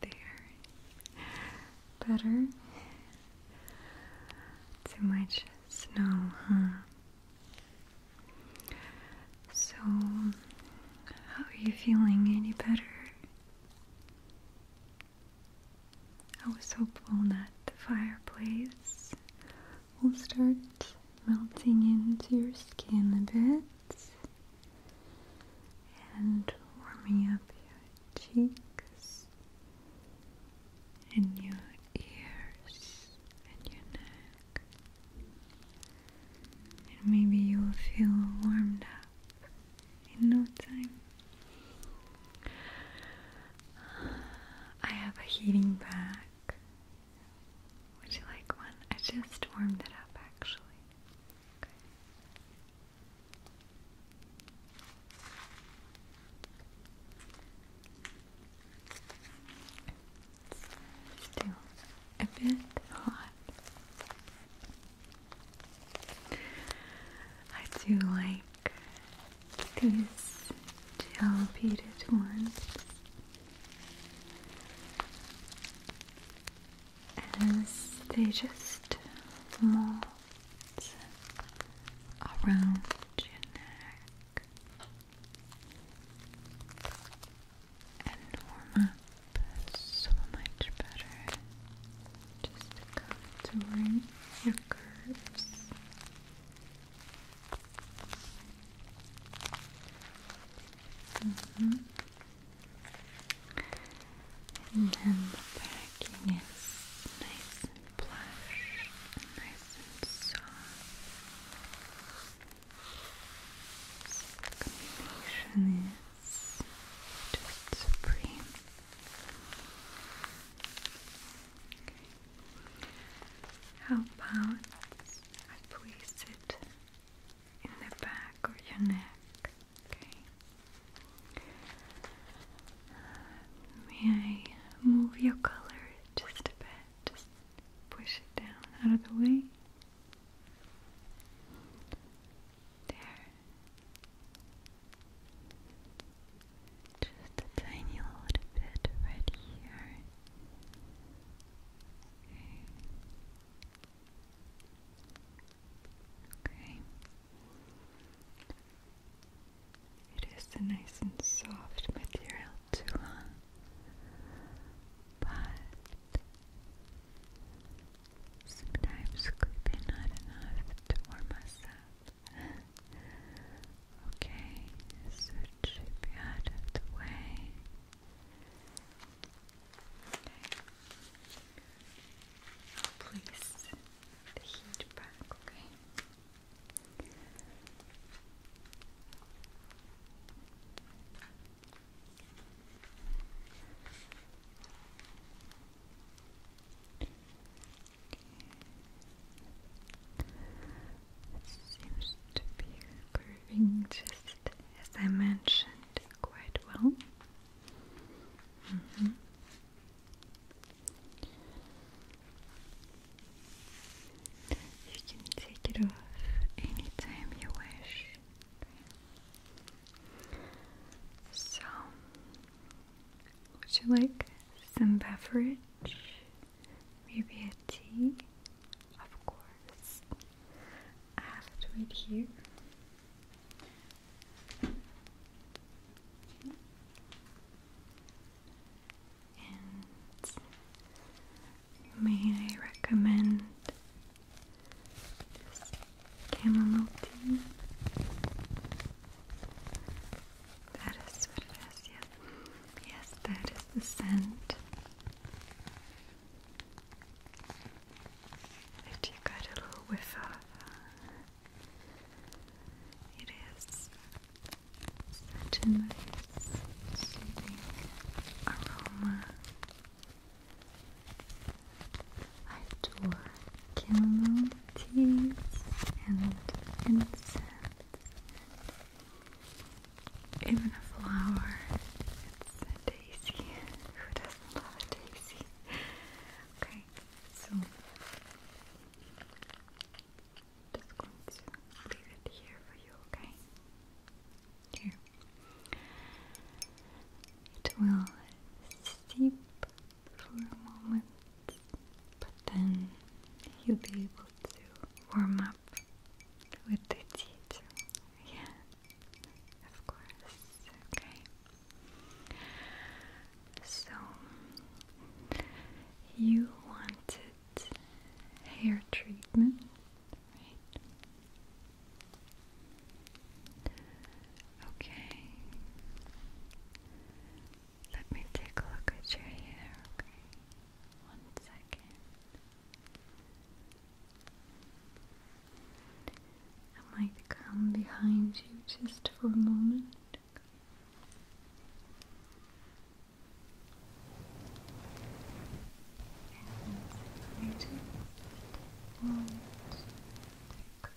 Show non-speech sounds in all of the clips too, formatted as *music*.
There. Better? Too much snow, huh? So, how are you feeling? Any better? I was hopeful that the fireplace will start melting into your skin a bit and warming up your cheeks and your ears and your neck. And maybe you will feel warmed up in no time. I have a heating bag. Would you like one? I just warmed it up actually. It's still a bit hot. I do like these gel ones. As they just mold around your neck and warm up so much better just contouring your curves. And then the packing is nice and plush nice and soft. the combination is just supreme. How about I place it in the back of your neck? Okay. Uh, may I move your color just a bit? Just push it down out of the way. There. Just a tiny little bit right here. Okay. It is a nice and soft material too, huh? but Sometimes clipping not enough to warm us *laughs* okay, so it be out of the way. Okay. Please, the heat back, Okay. This seems to be curving just as I mentioned quite well. Mm-hmm. You can take it off anytime you wish. So, would you like some beverage? Maybe a tea? Of course. I have to wait here. may I recommend this chamomile tea. That is what it is, yes. Yes, that is the scent that you got a little whiff of. It is such a nice, soothing aroma. I adore chamomile teas and incense and even a flower. It's a daisy. *laughs* Who doesn't love daisy? okay, so just going to leave it here for you, okay? Here. It will Deep for a moment, but then you'll be able to warm up with the tea Yeah, of course. Okay. So you wanted hair treatment, right? Okay. Let me take a look at your hair, okay? One second. I might come behind you just for a moment. one, two, three.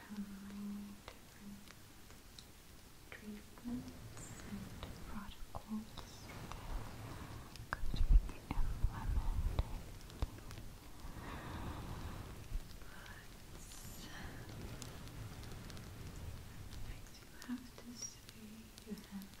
outline different treatments and protocols could be implemented. But, next you have to say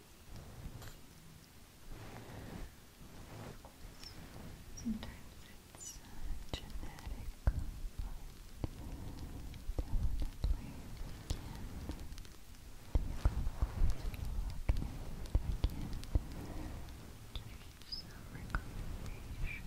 Sometimes it's genetic, but we can take a look and give you some recommendations.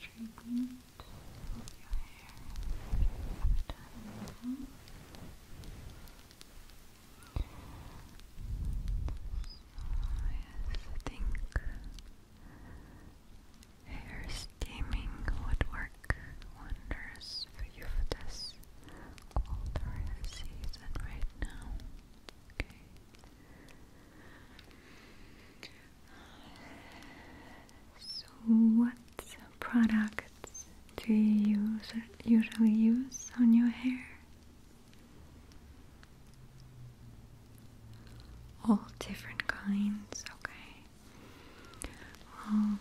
treatment of your hair you yes, I think hair steaming would work wonders for you for this colder season right now. Okay. So, what products do you usually use on your hair? All different kinds, okay. Well,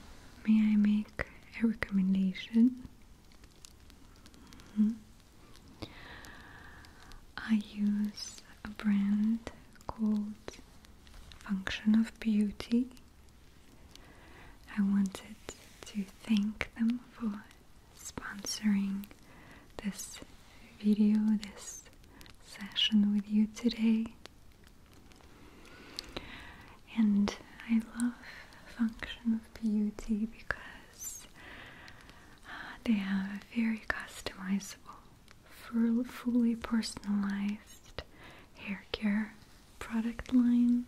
may I make a recommendation? Mm-hmm. I use a brand called Function of Beauty. I wanted to thank them for sponsoring this video, this session with you today. And I love Function of Beauty because uh, they have a very customizable, fully personalized hair care product line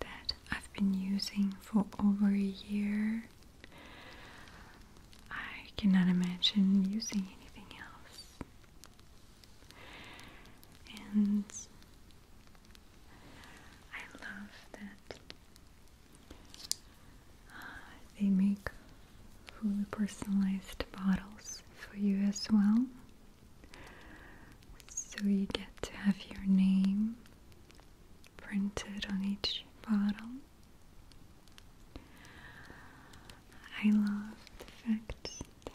that I've been using for over a year. I cannot imagine using anything else. And I love that uh, they make fully personalized bottles for you as well. So you get to have your name printed on each bottle. I love the fact that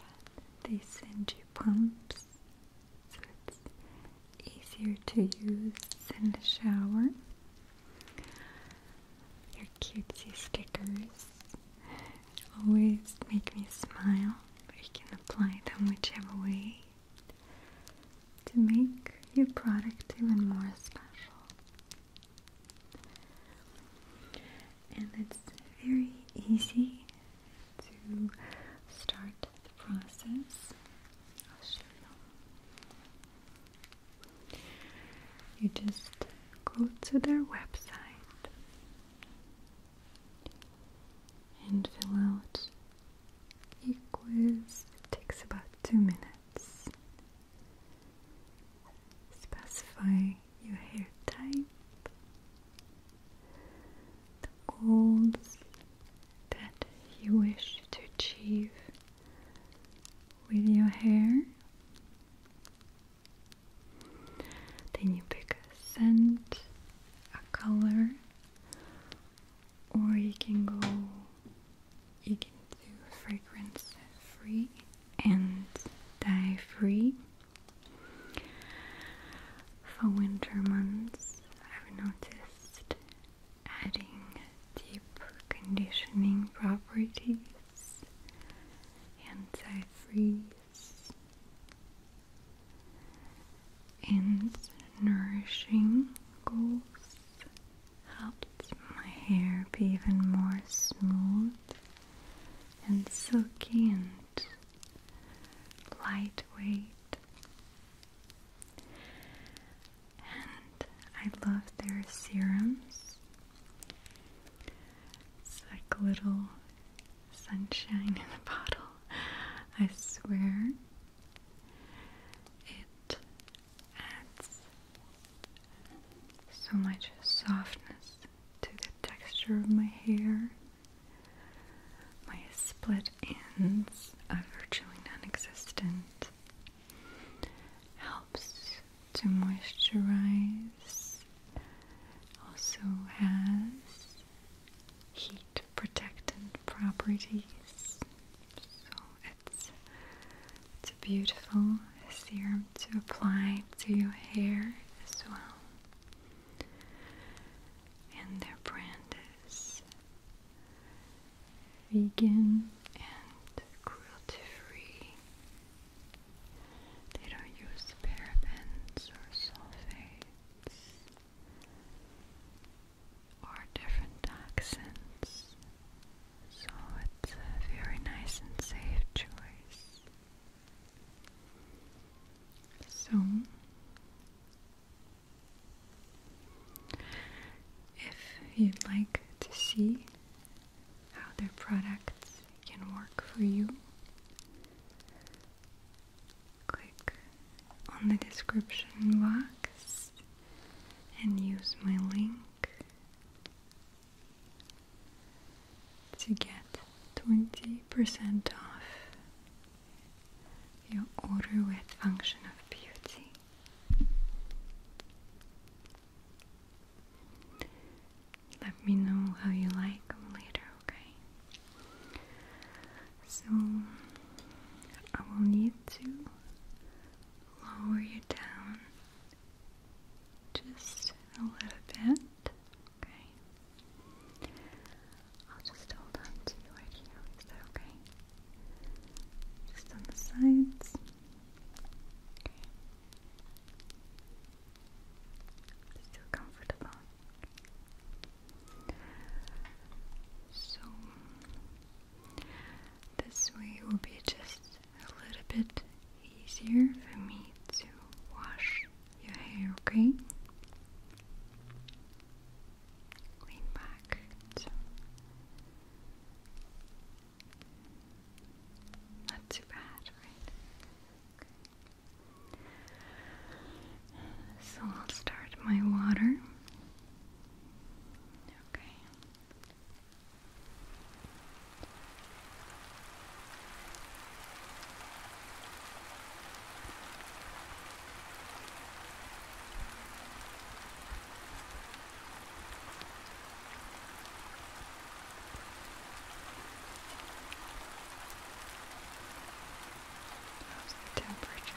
they send you pumps so it's easier to use in the shower. Your cutesy stickers always make me smile. You can apply them whichever way to make your product even more special. And it's very easy to start the process. you. You just go to their website and fill out a quiz. It takes about two minutes. Specify your hair type, the goals that you wish to achieve with your hair. Then you pick a scent, a color, or you can go, you can do fragrance free and dye free. For winter months, I've noticed adding deep conditioning properties, anti-freeze, and nourishing goals helped my hair be even more smooth and silky and lightweight and I love their serums. It's like little sunshine in a *laughs* bottle, I swear. It adds so much softness to the texture of my hair, my split that ends virtually non-existent helps to moisturize also has heat protectant properties so it's it's a beautiful serum to apply to your hair as well and their brand is vegan and cruelty free. They don't use parabens or sulfates or different toxins, so it's a very nice and safe choice. So, if you'd like to see how their products can work for you, click on the description box and use my link to get 20% off your order with function of beauty. Let me know how you like later, okay? So I will need to lower you down just a little bit, okay? I'll just hold on to you right here. Is that okay? Just on the sides. Okay. Just comfortable. So this way will be just a little bit easier for me to wash your hair, okay? going back not too bad, right? So I'll start my water. Okay. How's the temperature?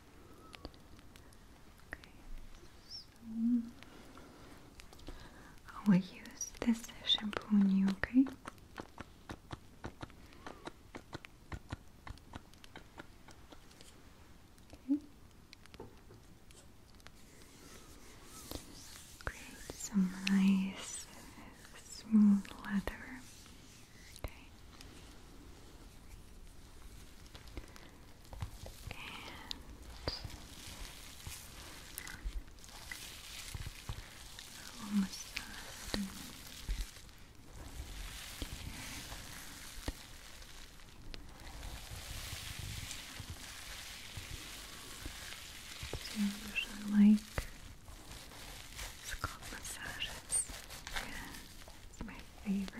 I will use this shampoo on you, okay? create some nice smooth leather Okay. And almost done. So usually like scalp massages. My favorite.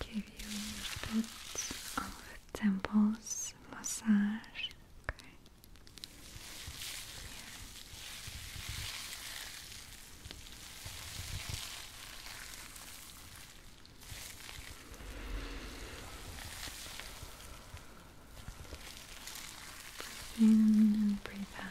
Give you a bit of massage. Okay. Breathe in and breathe out.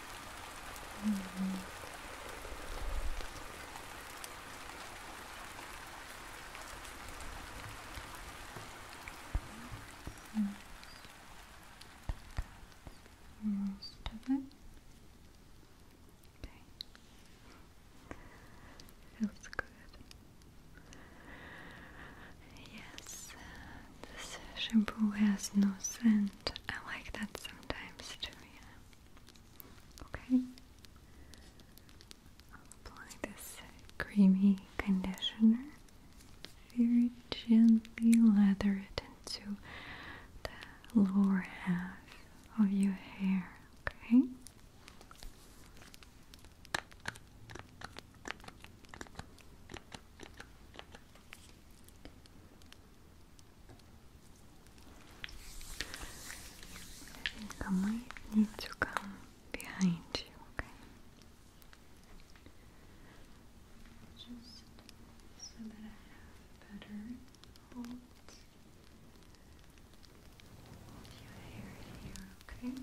Mm -hmm. -hmm. Okay. Feels good. Yes, uh, this shampoo has no scent. I like that sometimes too, Okay. I'll apply this creamy conditioner. Very gently lather it into the lower half of your hair. Okay. I think I to come behind you, okay? Just so that I have better hold your hair here, Okay.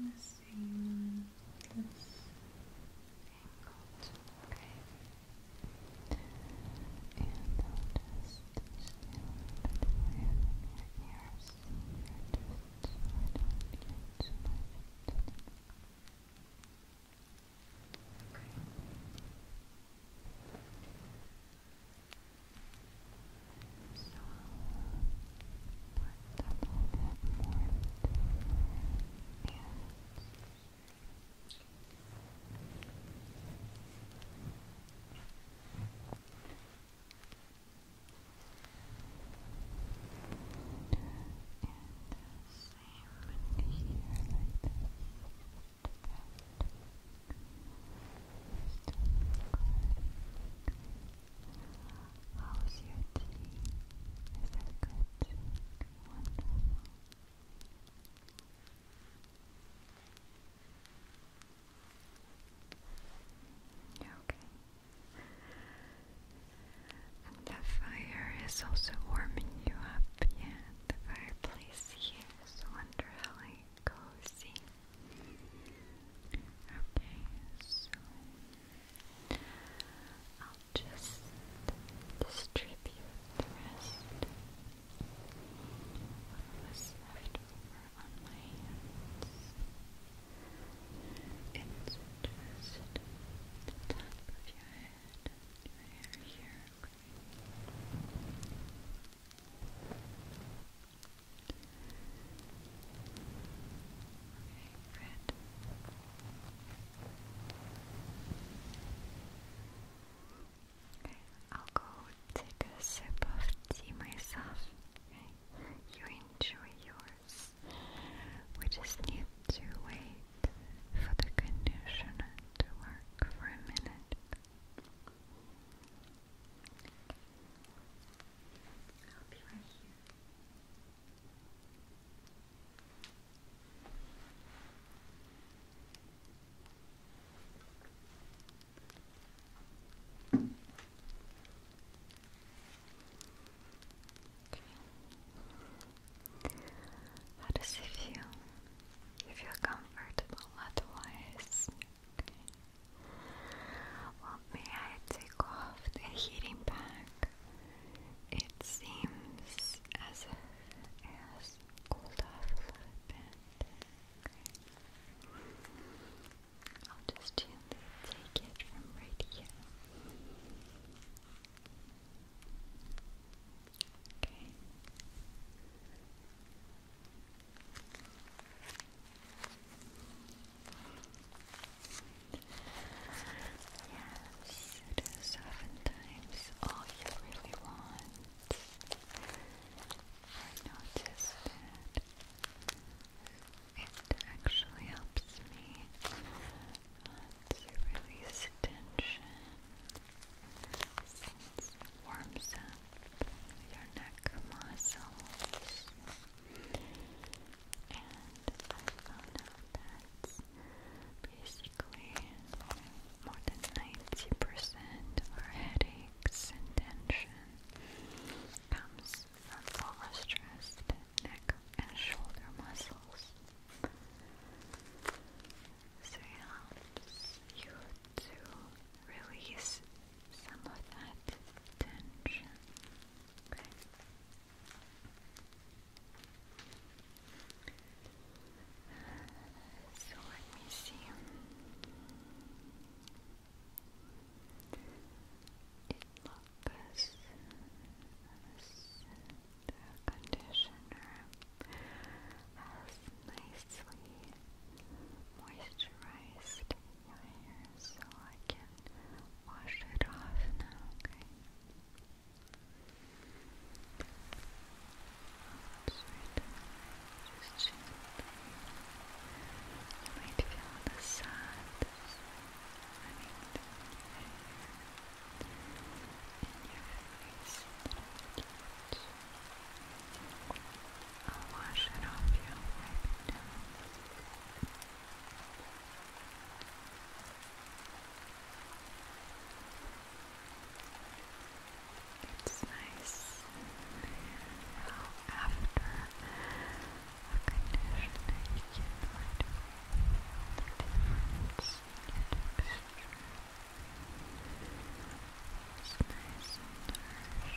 And the same on this angle. Okay. And just still put my here just so I don't Okay. So I'll put a little bit more into your hands. And the same here like this. Just How's your Is that good? Wonderful. Okay. the fire is also warming you up, yeah. The fireplace here is wonderfully cozy. Okay, so I'll just distribute the rest what was left over on my hands. It's just the top of your head, your hair here, Okay, I'll go take a sip of tea myself. you enjoy yours. We just need to wait for the conditioner to work for a minute i How does it feel? You feel comfortable, otherwise Okay. Well, may I take off the heating pack? It seems as if cooled off a bit. I'll just take it from right here. Okay. Yes, it is all you really want. I noticed that it actually helps me to release tension warms up your neck muscles. And I found that basically more than 90% of our headaches and tension comes from overstressed neck and shoulder muscles. So it helps you to release some of that So let me see. It looks as the conditioner nicely moisturized so I can wash it off now, okay? Just gently. You might feel the sun running down your hair and your face I'll wash it off you It's nice after a conditioning you can right the difference in texture. It's nice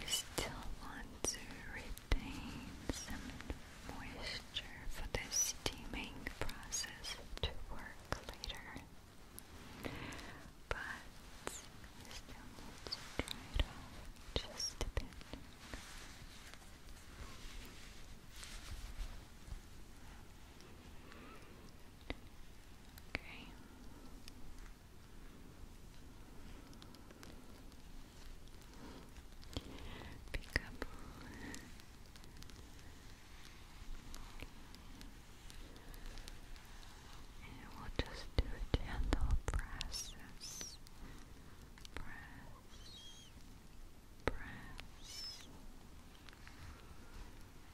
We still want to retain some moisture for the steaming process to work later. But we still need to dry off just a bit. Okay. Pick up. And will just do gentle presses. Press. Press.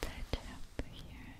fold that up here.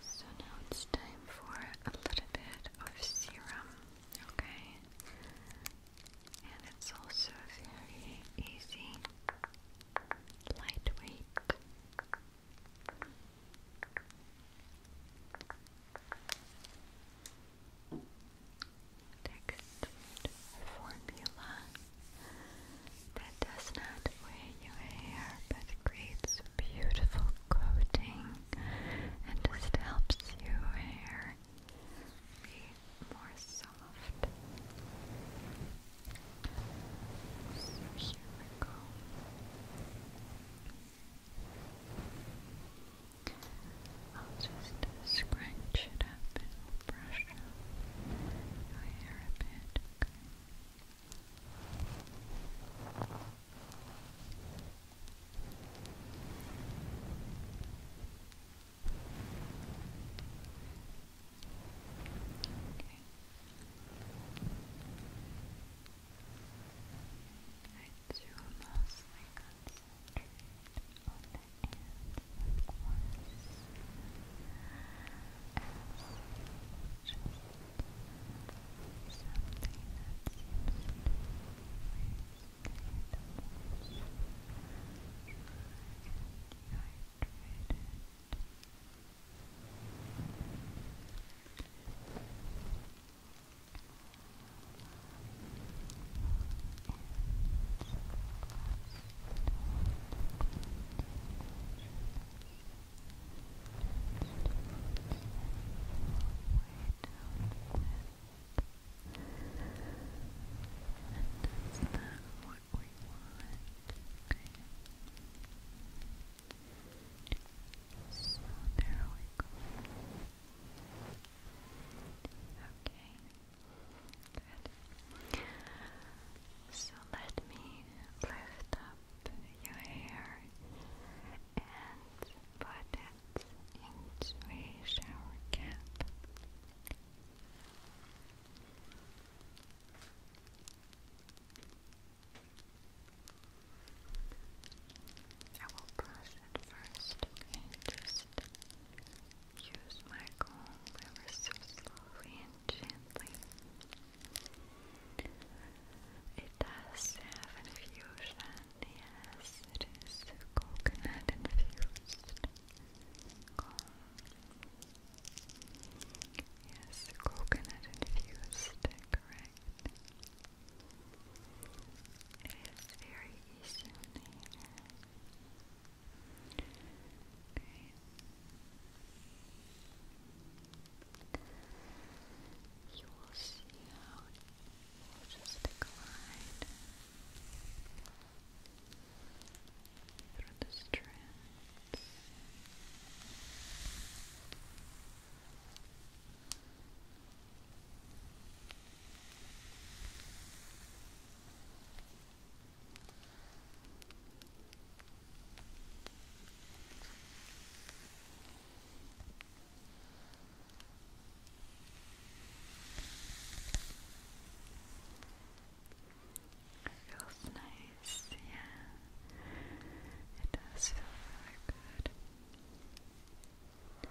So now it's time for a little bit of serum, okay? And it's also very easy, lightweight textured formula that does not weigh your hair but creates a beautiful coating and just helps your hair be more soft so here I'll just scrunch it up and we'll brush your hair a bit, Okay. I do mostly concentrate on the ends, of course, as just something that seems to always and it's that one what we So there we go. Okay. So let me lift up your hair and put it into a shower cap. I will brush it first, okay? Just use my comb ever so slowly and gently. It does have an infusion, yes, it is coconut infused Yes, coconut infused, correct. It is very easy You will see how it will just decline through the strands. Feels nice, yeah. It does feel really good. Good.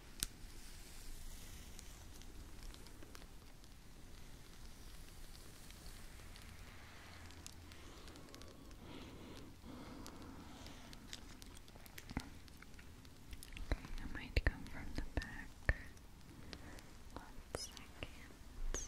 Okay, I might come from the back. One second. Okay.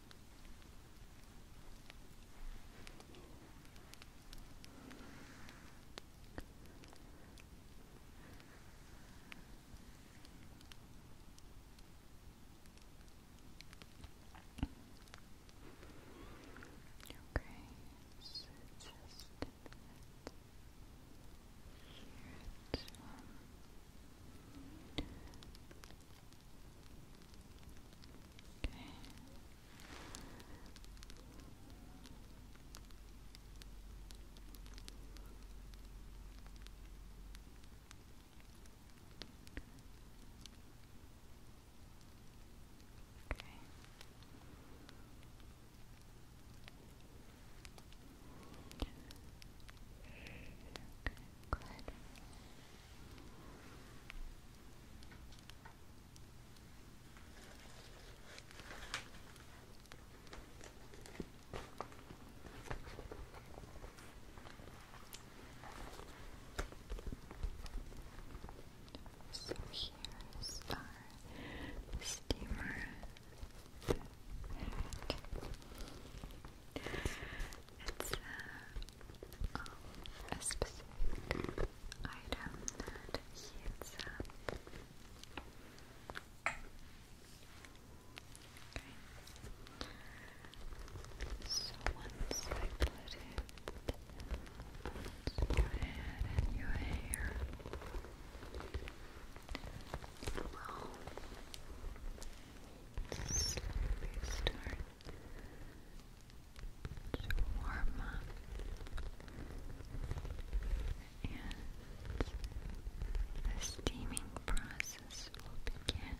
Okay, so just here, too. Okay. Okay. Okay, good. So here's our steamer. Okay. It's uh, a specific item that heats up. So once I put it on your head and your hair, slowly start to warm up and the steaming process will begin.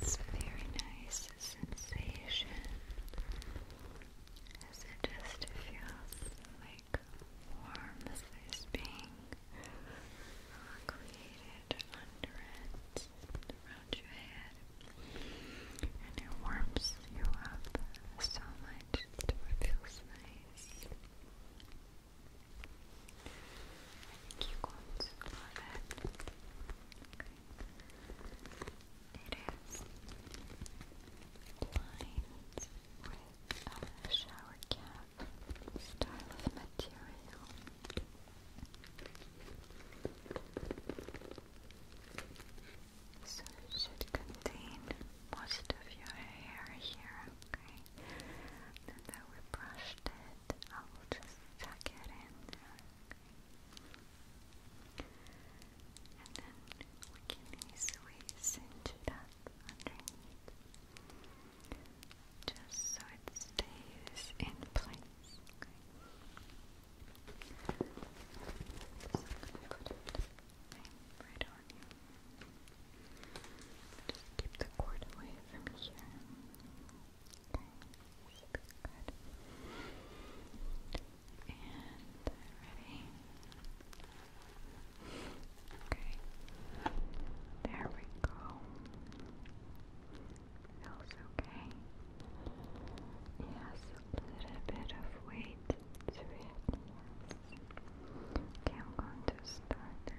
It's a very nice sensation as it just feels like like warm as this being uh, created under it around your head, and it warms you up so it feels nice. you're love it. It is lined with uh, shower cap style of material. So it should contain most of your hair here, okay? Now we brushed it, I will just tuck it in And then we can easily cinch it underneath just so it stays in place. right on you. Just keep the cord away from here. Okay, good. And ready. Okay. There we go. Feels okay. Yes, a little bit of weight to it. Okay, I'm going to start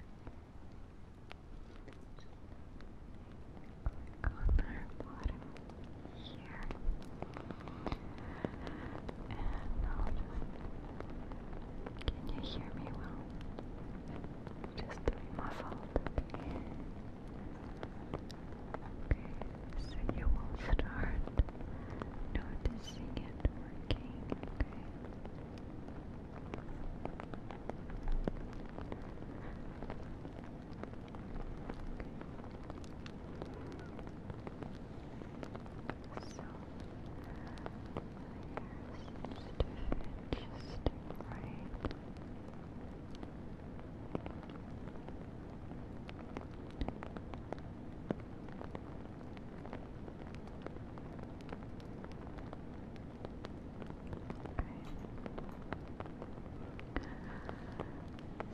on our bottom here. Can you hear me well? Just muffled. Okay, so you will start noticing it working, So, just right. Okay.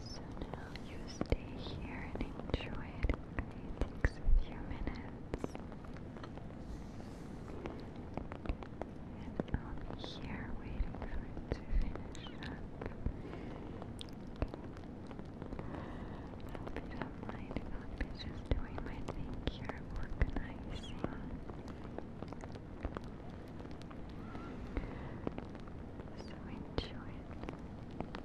So now you stay here and enjoy it. it takes a few minutes. And I'm here waiting for it to finish up. I hope you not mind if I'll just doing my thing here, organizing. So enjoy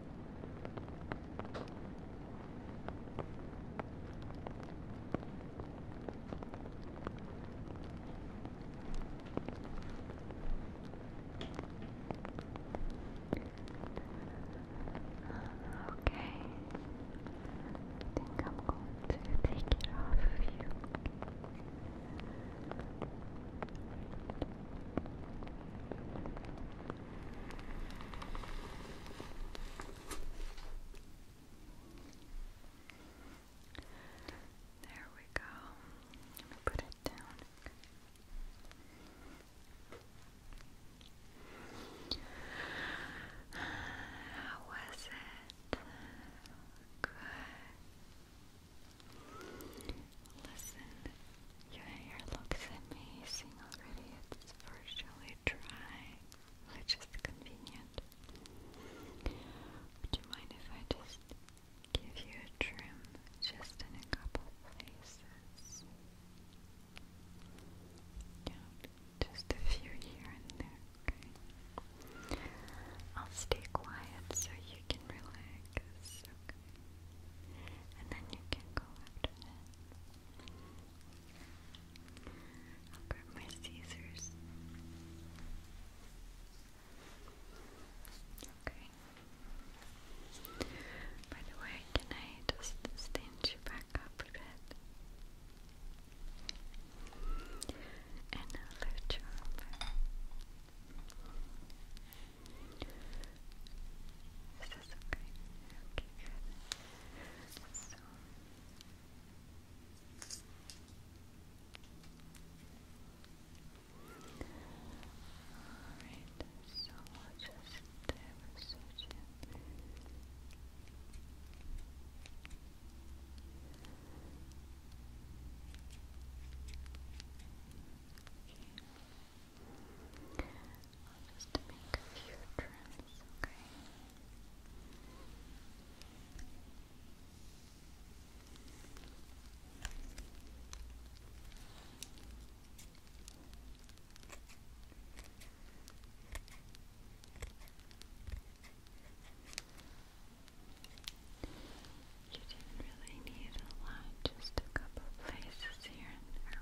Okay. I think I'm going to take it off of you. There we go. Let me put it down. How was it? Good. Listen your hair looks amazing already. It's virtually dry, which is convenient. Would you mind if I just give you a trim just in a couple places? Yeah, just a few here and there, okay? I'll stay quiet so you can relax, okay? And then you can go after that. I'll grab my scissors. Okay. By the way, can I just stand you back up a bit? And lift you this okay? Okay, good. So Alright, so we'll just have a search in. Okay. I'll make a few trims, okay? You didn't really need a lot, just a couple places here and there,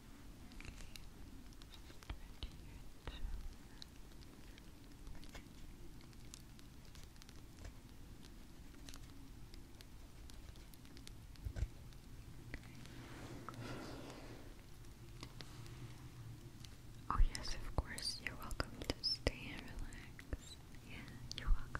Oh, yes, of course. You're welcome to stay and relax. Yeah, you're welcome